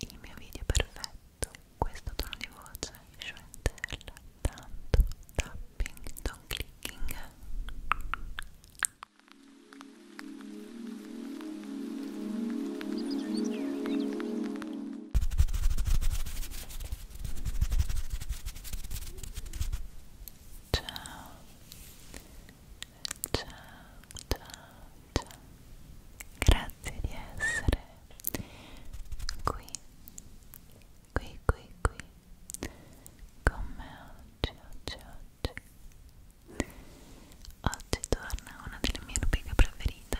il mio video perfetto, questo tono di voce, sciontella, tanto tapping, non clicking Ciao, ciao, ciao, faccia grazie di essere qui qui qui qui con me oggi oggi oggi oggi torna una delle mie rubriche preferite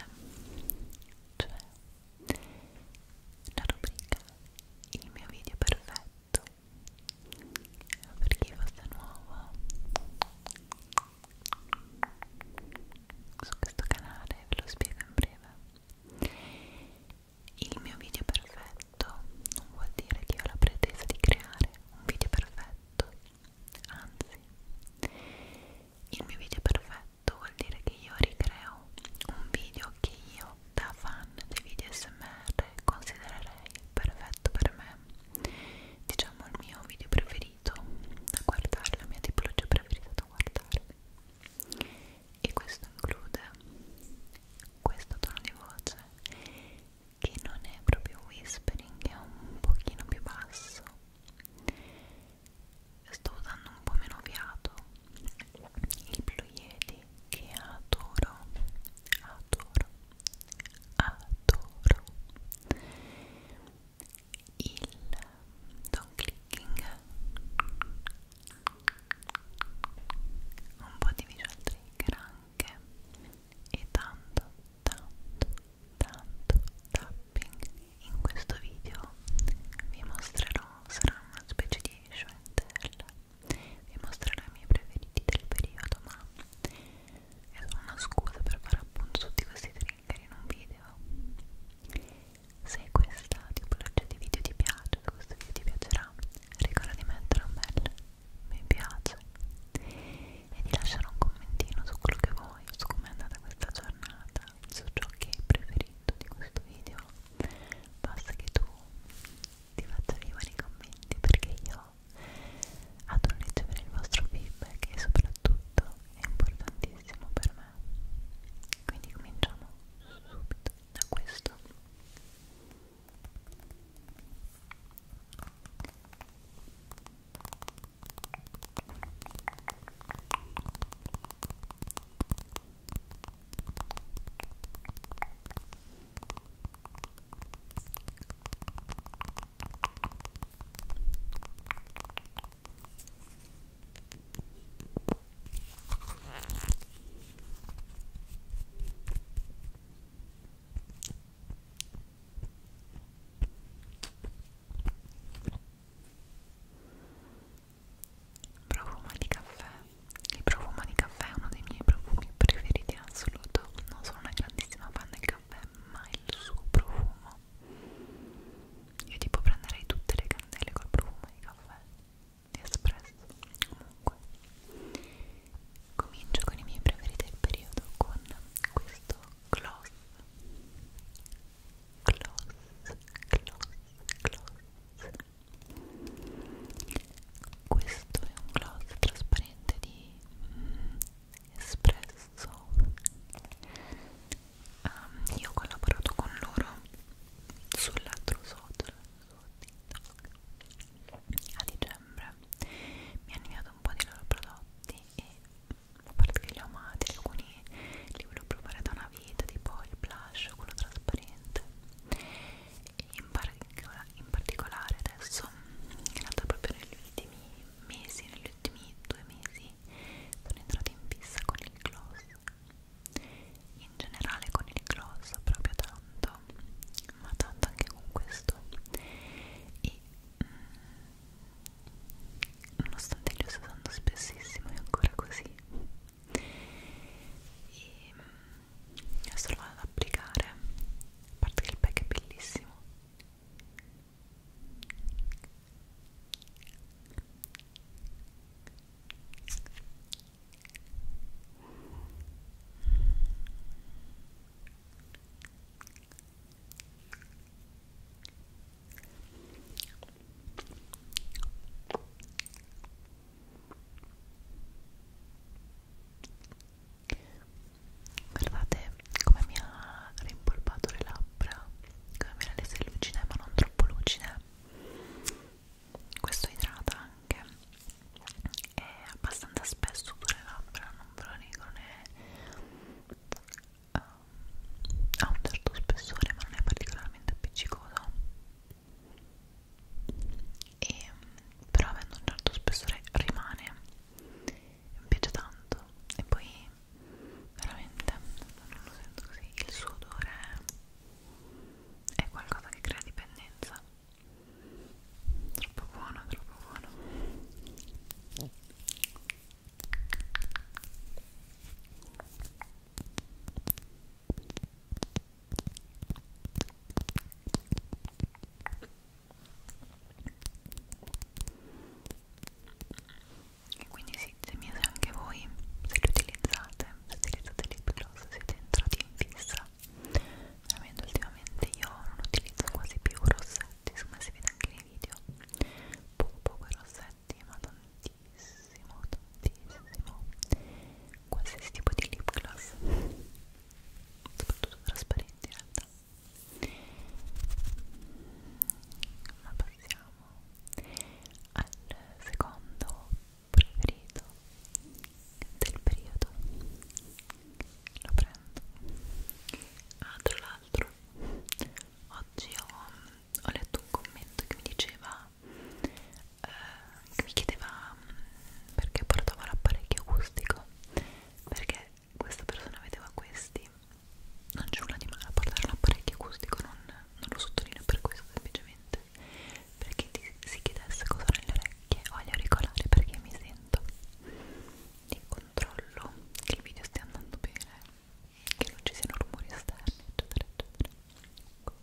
cioè la rubrica il mio video perfetto per chi fosse nuovo su questo canale, ve lo spiego in breve. Il mio video perfetto non vuol dire che ho la pretesa di creare un video perfetto, anzi, il mio video perfetto vuol dire che io ricreo un video che io da fan dei video smr considererei perfetto per me diciamo il mio video preferito preferito da guardare, la mia tipologia preferita da guardare e questo include questo tono di voce che non è proprio whispering, è un pochino più basso sto usando un po' meno fiato il Blue Yeti che adoro adoro adoro il don clicking un po' di visual trigger anche e tanto tanto tanto tapping in questo video vi mostrerò sarà una specie di show and tell vi mostrerò i miei preferiti del periodo ma è solo una scusa per fare appunto tutti questi trigger in un video se questa tipologia di video ti piace se questo video ti piacerà ricorda di mettere un bel mi piace e di lasciare un commentino su quello che vuoi su come è andata questa giornata su ciò che hai preferito di questo video basta che tu ti faccia arrivare nei commenti perché io adoro ricevere il vostro feedback e soprattutto è importantissimo per me quindi cominciamo subito da questo Profumo di caffè. Il profumo di caffè è uno dei miei profumi preferiti in assoluto. Non sono una grandissima fan del caffè, mai il suo profumo io tipo prenderei tutte le candele col profumo di caffè di espresso comunque comincio con i miei preferiti del periodo con questo gloss gloss gloss gloss questo è un gloss trasparente di mm, espresso um, io ho collaborato con loro sull'altro sotto a dicembre mi hanno inviato un po' di loro prodotti e a parte che li ho amati alcuni li volevo provare da una vita tipo il blush quello trasparente e in, par in particolare adesso in realtà proprio negli ultimi mesi, negli ultimi due mesi sono entrata in fissa con il gloss in generale con il gloss proprio tanto ma tanto anche con questo e mh, mm, nonostante li sto usando spessissimo è ancora così e mh, mm, adesso lo vado ad applicare a parte che il pack è bellissimo Guardate, come mi ha rimpolpato le labbra come mi ha reso lucide ma non troppo lucide questo idrata anche è abbastanza spesso sulle labbra non ve lo dico ne ehm, uh, ha un certo spessore ma non è particolarmente appiccicoso e però avendo un certo spessore rimane mi piace tanto e poi veramente non lo sento così il suo odore è qualcosa che crea dipendenza troppo buono troppo buono e quindi sì, ditemi se anche voi se li utilizzate, se utilizzate lip gloss, siete entrati in fissa veramente ultimamente io non utilizzo quasi più rossetti, insomma si vede anche nei video poco poco i rossetti, ma tantissimo, tantissimo qualsiasi tipo di lip gloss soprattutto trasparenti in realtà ma poi siamo al secondo preferito del periodo lo prendo ah, tra l'altro oggi ho, ho letto un commento che mi diceva eh, che mi chiedeva mm, perché portavo l'apparecchio acustico perché questa persona vedeva questi non c'è nulla di male a parlare un apparecchio acustico non, non lo sottolineo per questo semplicemente perché ti si chiedesse cosa nelle orecchie o agli auricolari perché mi sento e controllo che il video stia andando bene che non ci siano rumori esterni eccetera eccetera ok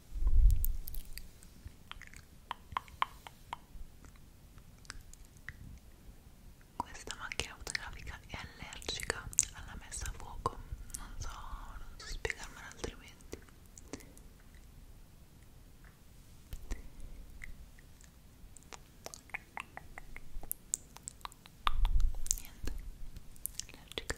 Questa macchina fotografica è allergica alla messa a fuoco, non so, non so spiegarmelo altrimenti. Niente, allergica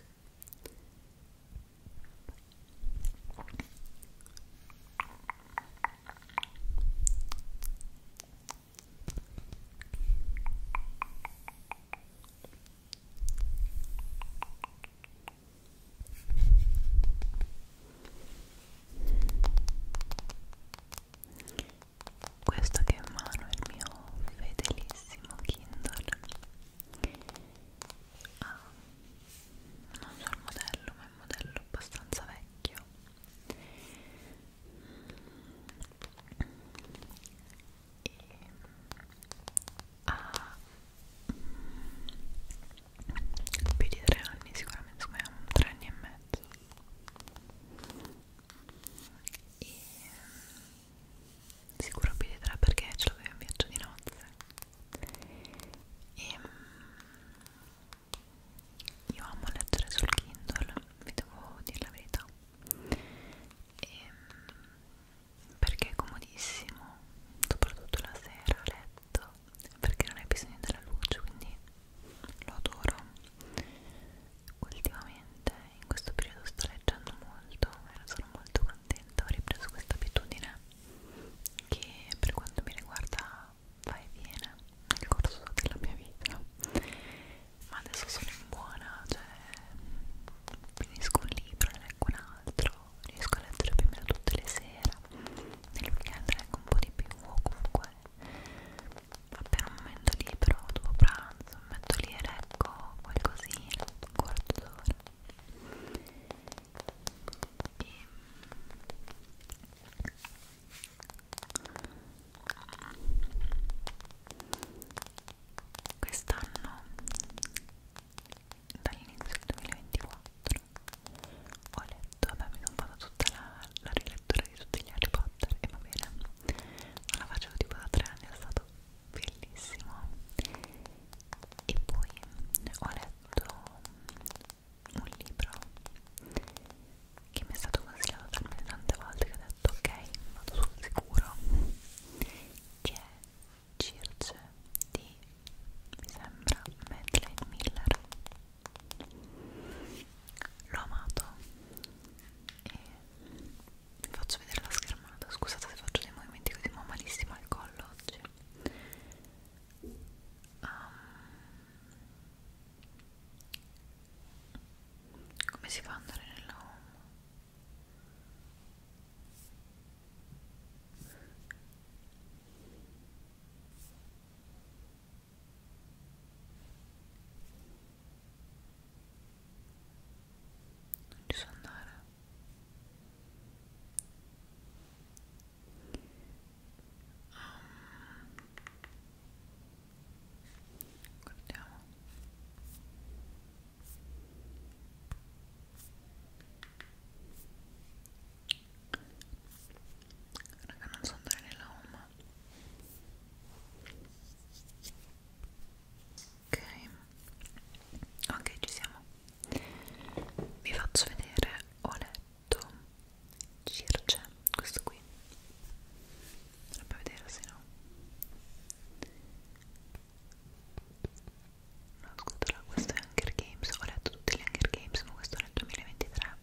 questo che è in mano è il mio fedelissimo Kindle ha ah, non so il modello ma è un modello abbastanza vecchio e ha ah, mm, più di tre anni sicuramente come tre anni e mezzo e sicuro più di tre perché ce l'avevo in viaggio di nozze e ehm, io amo leggere sul Kindle, vi devo dire la verità e ehm, perché è comodissimo, soprattutto la sera a letto, perché non hai bisogno della luce, quindi lo adoro. Ultimamente in questo periodo sto leggendo molto e sono molto contenta, ho ripreso questa abitudine che per quanto mi riguarda va e viene nel corso della mia vita ma adesso sono in buona cioè finisco un libro ne leggo un altro riesco a leggere più o meno tutte le sere nel weekend leggo un po' di più o comunque appena un momento libero dopo pranzo mi metto lì e leggo qualcosina un quarto d'ora e... quest'anno dall'inizio del 2024 ho letto, vabbè mi sono fatta tutta la, la rilettura di tutti gli Harry Potter e va bene non la facevo tipo da tre anni, è stato bellissimo e poi ho letto letto un libro che mi è stato consigliato talmente tante volte che ho detto ok, vado sul sicuro che è Circe di, mi sembra, Madeleine Miller l'ho amato e vi faccio vedere la schermata scusate se faccio dei movimenti così ma ho malissimo al collo oggi um, come si fa ad andare nella home? non ci so andare guardiamo raga non so andare nella home ok ok ci siamo vi faccio vedere ho letto Circe questo qui dovrebbe vedere se no no scusa questo è Hunger Games ho letto tutti gli Hunger Games ma questo è nel 2023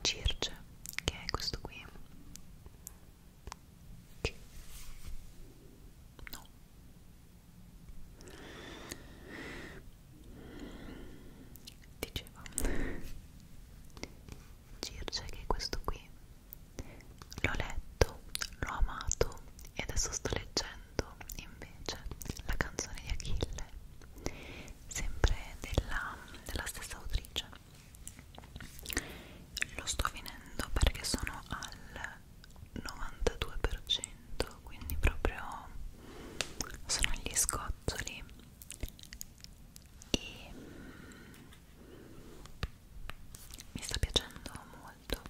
Circe che è questo qui che? no dicevo Circe che questo qui l'ho letto, l'ho amato e adesso sto leggendo invece la canzone di Achille sempre della, della stessa autrice lo sto finendo perché sono al 92%, quindi proprio sono gli scozzoli e mm, mi sta piacendo molto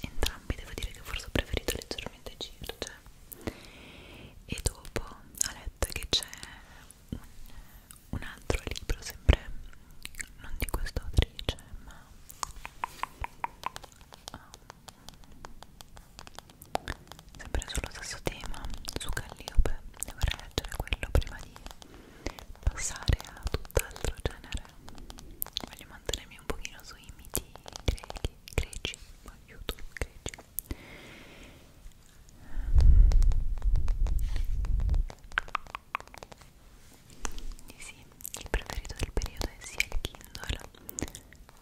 entrambi devo dire che forse ho preferito leggermente Circe cioè. e dopo ho letto che c'è un, un altro libro sempre non di questa autrice ma um, sempre sullo stesso tema su Calliope dovrei leggere quello prima di passare a tutt'altro genere voglio mantenermi un pochino sui miti greci, greci aiuto, greci sì, il preferito del periodo è sia il Kindle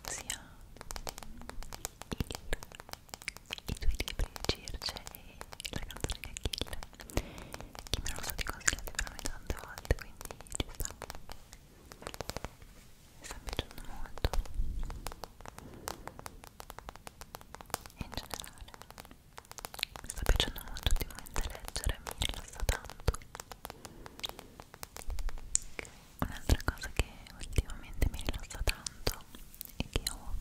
sia il, i tuoi libri Circe e la canzone di Achille che me lo sono consigliati veramente tante volte quindi ci sta mi sta piacendo molto e in generale mi sta piacendo molto ultimamente leggere mi rilassa tanto Un'altra cosa che ultimamente mi rilassa tanto e che ho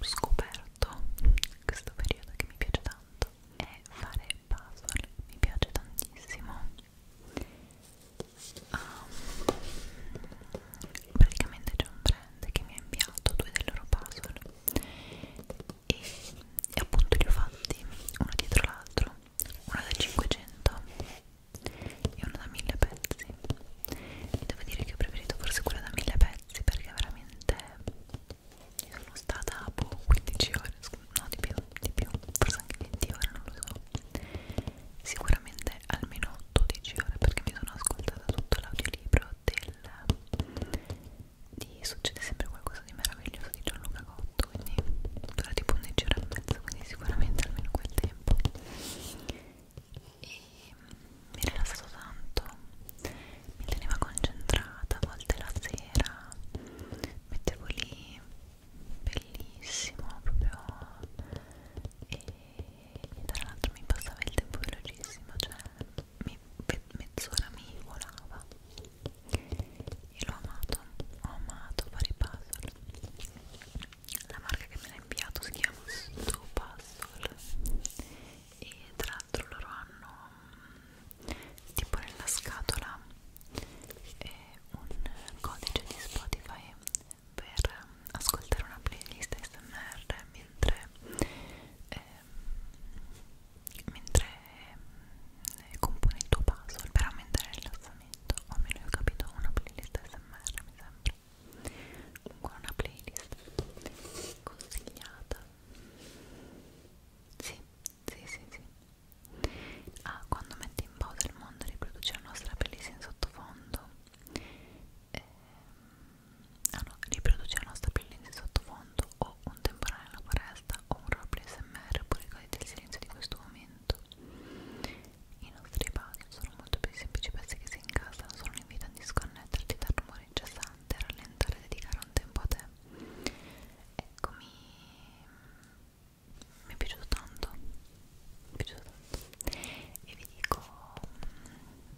scoperto in questo periodo che mi piace tanto è fare puzzle, mi piace tantissimo. Um, praticamente c'è un brand che mi ha inviato due dei loro puzzle e, e appunto li ho fatti uno dietro l'altro una da 500 e una da 1000 pezzi e devo dire che ho preferito forse quella da 1000 pezzi perché veramente sono stata boh, 15 ore no di più, di più, forse anche 20 ore, non lo so sicuramente almeno 12 ore perché mi sono ascoltata tutto l'audiolibro del di Succede sempre qualcosa di meraviglioso di Gianluca Goff 18 quindi dura tipo 11 ore e mezzo quindi sicuramente almeno quel tempo e mi rilassavo tanto mi teneva concentrata a volte la sera mettevo lì bellissimo proprio e tra l'altro mi passava il tempo velocissimo cioè mi, mezz'ora mi volava io l'ho amato, ho amato fare i puzzle. La marca che me l'ha inviato si chiama Stu Puzzle e tra l'altro loro hanno mm, tipo nella scatola eh, un codice di Spotify per ascoltare una playlist SMR mentre, eh, mentre eh, compone il tuo puzzle per aumentare il rilassamento o almeno io ho capito una playlist smr mi sembra comunque una playlist consigliata sì sì sì sì ah, quando metti in pausa il mondo riproduce la nostra playlist in sottofondo eh, ah no riproduce la nostra playlist in sottofondo o un temporale nella foresta puntata o un roleplay smr pure goditi il silenzio di questo momento i nostri puzzle sono molto più semplici pezzi che si incastrano sono in vita a disconnetterti dal rumore incessante rallentare e dedicare un tempo a te eccomi mi è piaciuto tanto mi è piaciuto tanto e vi dico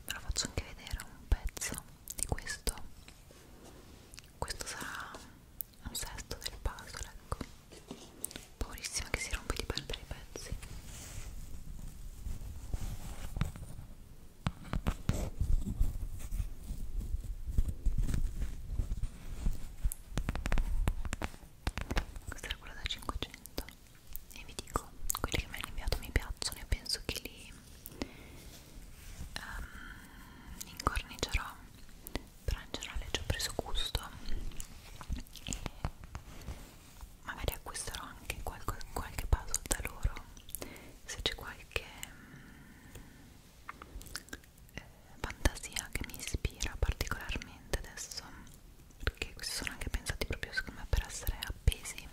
ve lo faccio anche vedere un pezzo di questo questo sarà un sesto del puzzle, ecco. Paurissima che si rompe di perdere i pezzi. Questa era quella da 500 e vi dico, quelli che mi hanno inviato mi piacciono e penso che li um, ehm, incornicerò però in generale ci ho preso gusto e magari acquisterò anche qualche, qualche puzzle da loro se c'è qualche eh, fantasia che mi ispira particolarmente adesso perché questi sono anche pensati proprio secondo me per essere appesi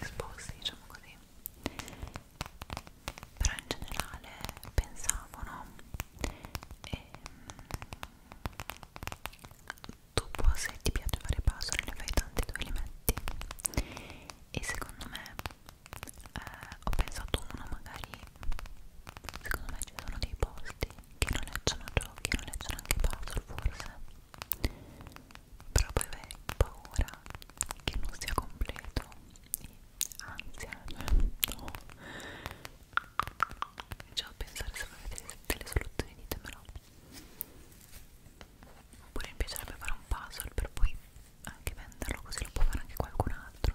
esposti diciamo così però in generale pensavo no e ehm, dopo se ti piace fare puzzle ne fai tanti dove li metti e secondo me eh, ho pensato uno magari secondo me ci sono dei posti che non leggono giochi non leggono anche puzzle forse però poi avrei paura che non sia completo ansia no già a pensare se avete delle, delle soluzioni ditemelo oppure mi piacerebbe fare un puzzle per poi anche venderlo così lo può fare anche qualcun altro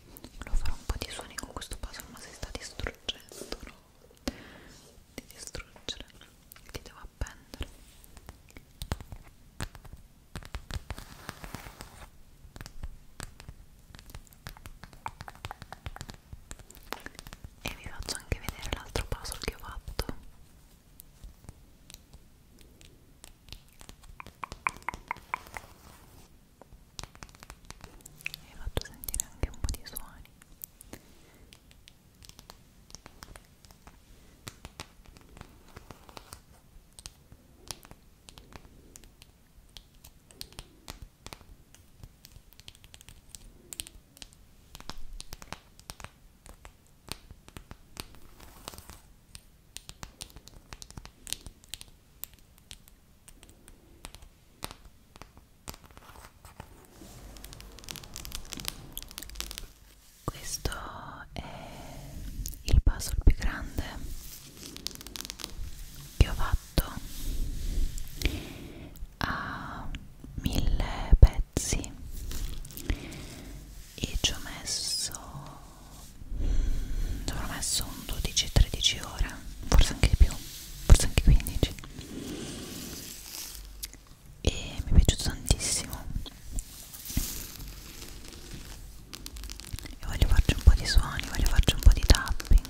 volevo fare un po' di suoni con questo puzzle ma si sta distruggendo no? di distruggere li devo appendere e vi faccio anche vedere l'altro puzzle che ho fatto hai fatto sentire anche un po' di suoni questo è il puzzle più grande che ho fatto a mille pezzi e ci ho messo ci avrò messo un 12-13 ore forse anche di più forse anche 15 e mi è piaciuto tantissimo e voglio farci un po' di suoni, voglio farci un po' di tapping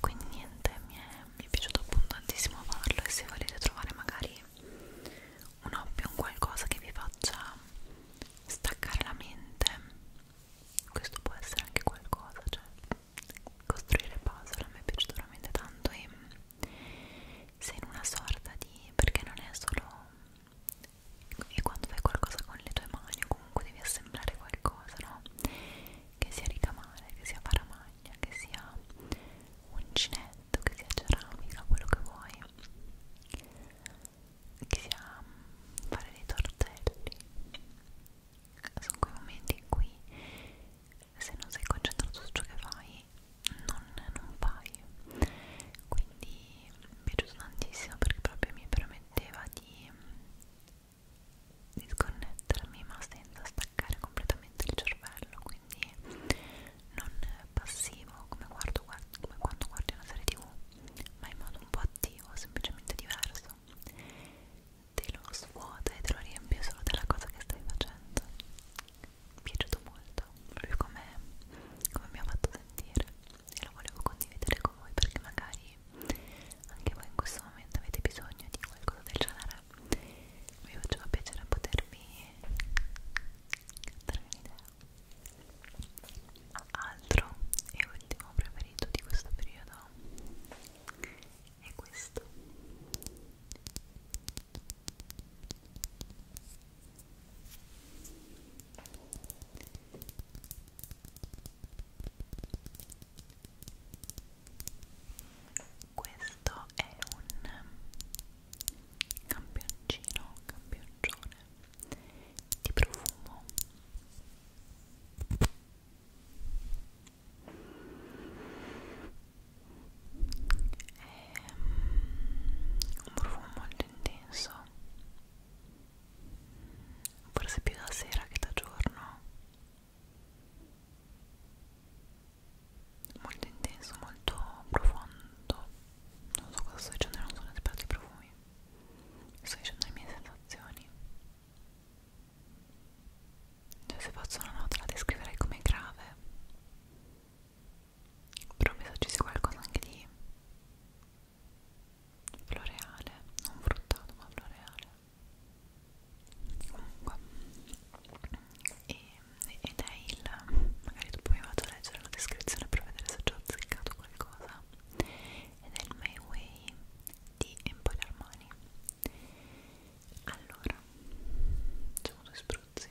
quindi niente mi è, mi è piaciuto appunto tantissimo farlo e se volete trovare magari un hobby un qualcosa che vi faccia staccare la mente questo può essere anche qualcosa cioè costruire puzzle a me è piaciuto veramente tanto e se in una sorta di perché non è solo e quando fai qualcosa con le tue mani o comunque devi assemblare qualcosa, no? Che sia ricamare, che sia paramagna, che sia uncinetto, che sia ceramica, quello che vuoi, che sia mm, fare dei tortelli. Sono quei momenti in cui se non sei concentrato su ciò che fai non, non paio quindi mi è piaciuto tantissimo perché proprio mi permetteva di, di sconnettermi ma senza staccare completamente il cervello quindi non passivo come, guardo, guardo, come quando guardi una serie tv ma in modo un po' attivo, semplicemente diverso te lo svuota e te lo riempie solo della cosa che stai facendo mi è piaciuto molto proprio come, come mi ha fatto sentire e lo volevo condividere con voi perché magari anche voi in questo momento avete bisogno di qualcosa del genere mi faceva piacere potervi darvi un'idea altro e ultimo preferito di questo periodo è questo questo è un campioncino, campioncione di profumo è Ehm, un profumo molto intenso forse più da sera che da giorno molto intenso, molto profondo non so cosa sto dicendo, non sono esperto di profumi sto dicendo le mie sensazioni cioè se faccio una nota la descriverei come grave però mi sa ci sia qualcosa anche di floreale non fruttato ma floreale comunque e, ed è il magari dopo mi vado a leggere la descrizione per vedere se ci ho azzeccato qualcosa ed è il My Way di Empire Armani allora facciamo due spruzzi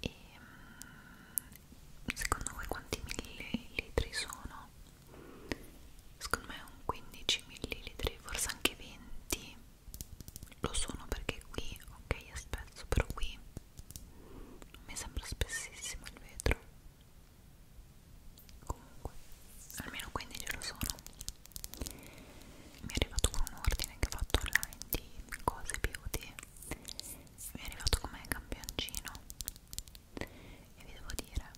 E mm, secondo voi quanti millilitri sono? Secondo me un 15 millilitri, forse anche 20. Lo sono perché qui, ok, è spesso, però qui non mi sembra spessissimo il vetro comunque almeno 15 lo sono mi è arrivato con un ordine che ho fatto online di cose beauty mi è arrivato come campioncino e vi devo dire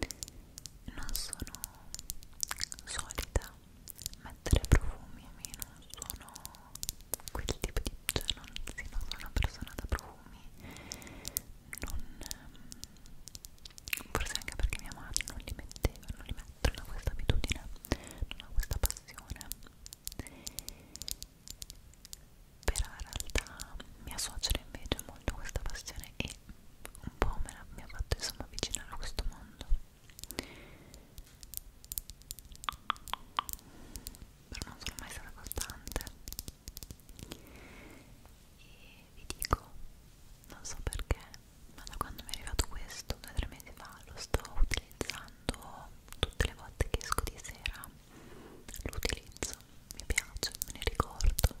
mm, non sono solita mettere profumi a me non sono quel tipo di cioè non, sì, non sono una persona da profumi profumi non ehm, forse anche perché mia madre non li metteva non li mette, non ha questa abitudine non ha questa passione però in realtà mia suocera invece ha molto questa passione e un po' me la, mi ha fatto insomma avvicinare a questo mondo però non sono mai stata costante e vi dico non so perché ma da quando mi è arrivato questo due o tre mesi fa lo sto utilizzando tutte le volte che esco di sera lo utilizzo mi piace me ne ricordo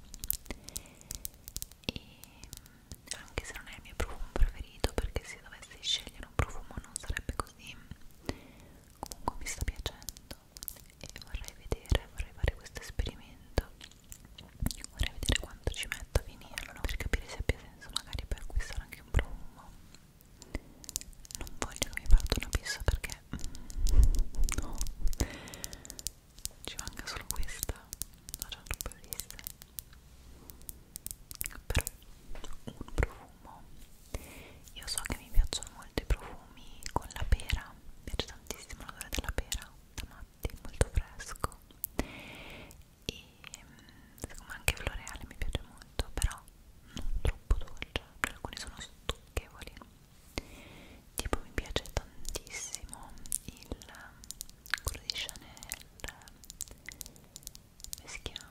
e anche se non è il mio profumo preferito perché se dovessi scegliere un profumo non sarebbe così comunque mi sta piacendo e vorrei vedere, vorrei fare questo esperimento vorrei vedere quanto ci metto a finirlo no? per capire se abbia senso magari per acquistare anche un profumo non voglio che mi parta una pista perché mm, no ci manca solo questa ho già troppe viste però un profumo profumo io so che mi piacciono molto i profumi con la pera mi piace tantissimo l'odore della pera da matti, molto fresco e siccome anche floreale mi piace molto però non troppo dolce cioè alcuni sono stucchevoli tipo mi piace tantissimo il quello di Chanel come si chiama?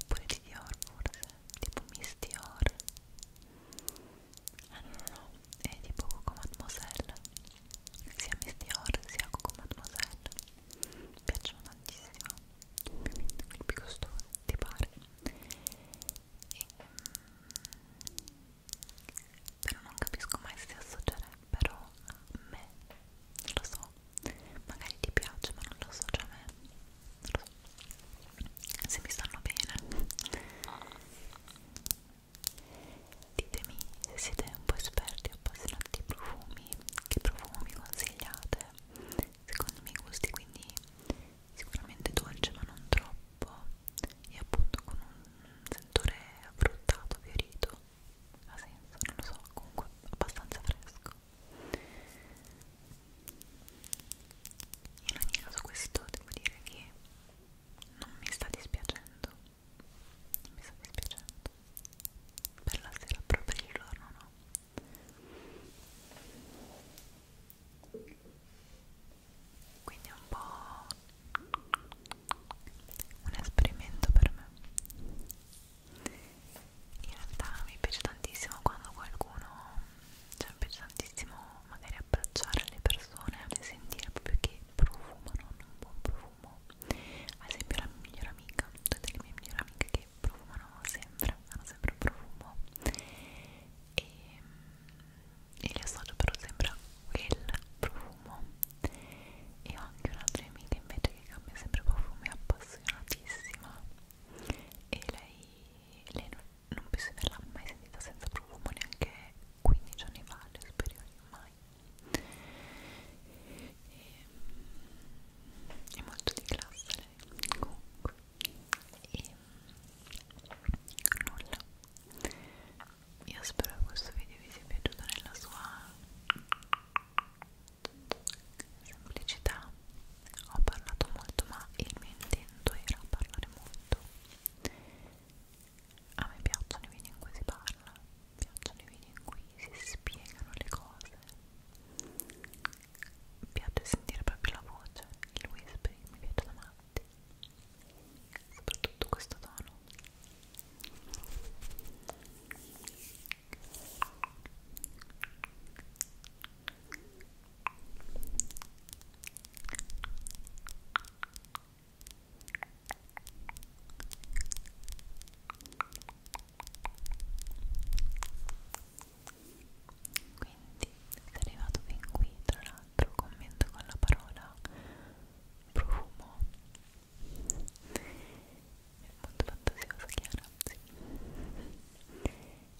oppure di Dior forse tipo Miss Dior Ah no no no, è tipo Coco Mademoiselle sia Miss Dior sia Coco Mademoiselle mi piacciono tantissimo ovviamente quelli più costosi, ti pare e, mm, però non capisco mai se si associerebbero a me, lo so magari ti piace ma non lo associo a me se mi stanno bene ditemi se siete un po' esperti o appassionati di profumi che profumi consigliate secondo i miei gusti quindi sicuramente dolce ma non troppo e appunto con un sentore affruttato, fiorito ha senso, non lo so, comunque abbastanza fresco in ogni caso questo devo dire che non mi sta dispiacendo non mi sta dispiacendo per la sera proprio il giorno no quindi è un po' un esperimento per me in realtà mi piace tantissimo quando qualcuno cioè mi piace tantissimo magari abbracciare le persone e sentire proprio che profumano hanno un buon profumo ad esempio la mia migliore amica tutte le mie migliori amiche che profumano sempre hanno sempre un profumo e, e li associo però sempre a quel profumo e ho anche un'altra amica invece che cambia sempre profumo è appassionatissima e lei, lei non non penso di averla mai sentita senza profumo neanche 15 anni fa alle superiori mai e, ehm, è molto di classe lei comunque e ehm, nulla io spero che questo video vi sia piaciuto nella sua semplicità ho parlato molto ma il mio intento era parlare molto a me piacciono i video in cui si parla piacciono i video in cui si spiegano le cose mi piace sentire proprio la voce il whispering mi piace da matti soprattutto questo tono quindi, se arrivato fin qui, tra l'altro commento con la parola profumo. È molto fantasiosa, chiara. Sì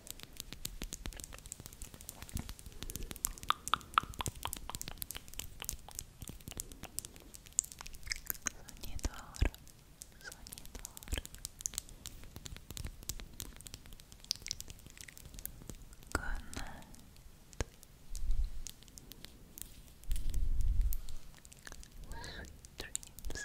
Санитар, санитар. Канат. Sweet dreams.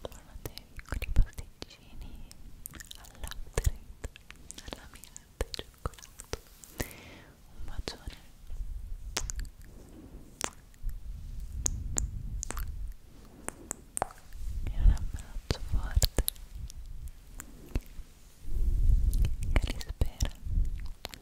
Buona te, piccoli pasticcini al latte, alla mirata e cioccolato. Un bacione. E un abbraccio forte. Che li spera.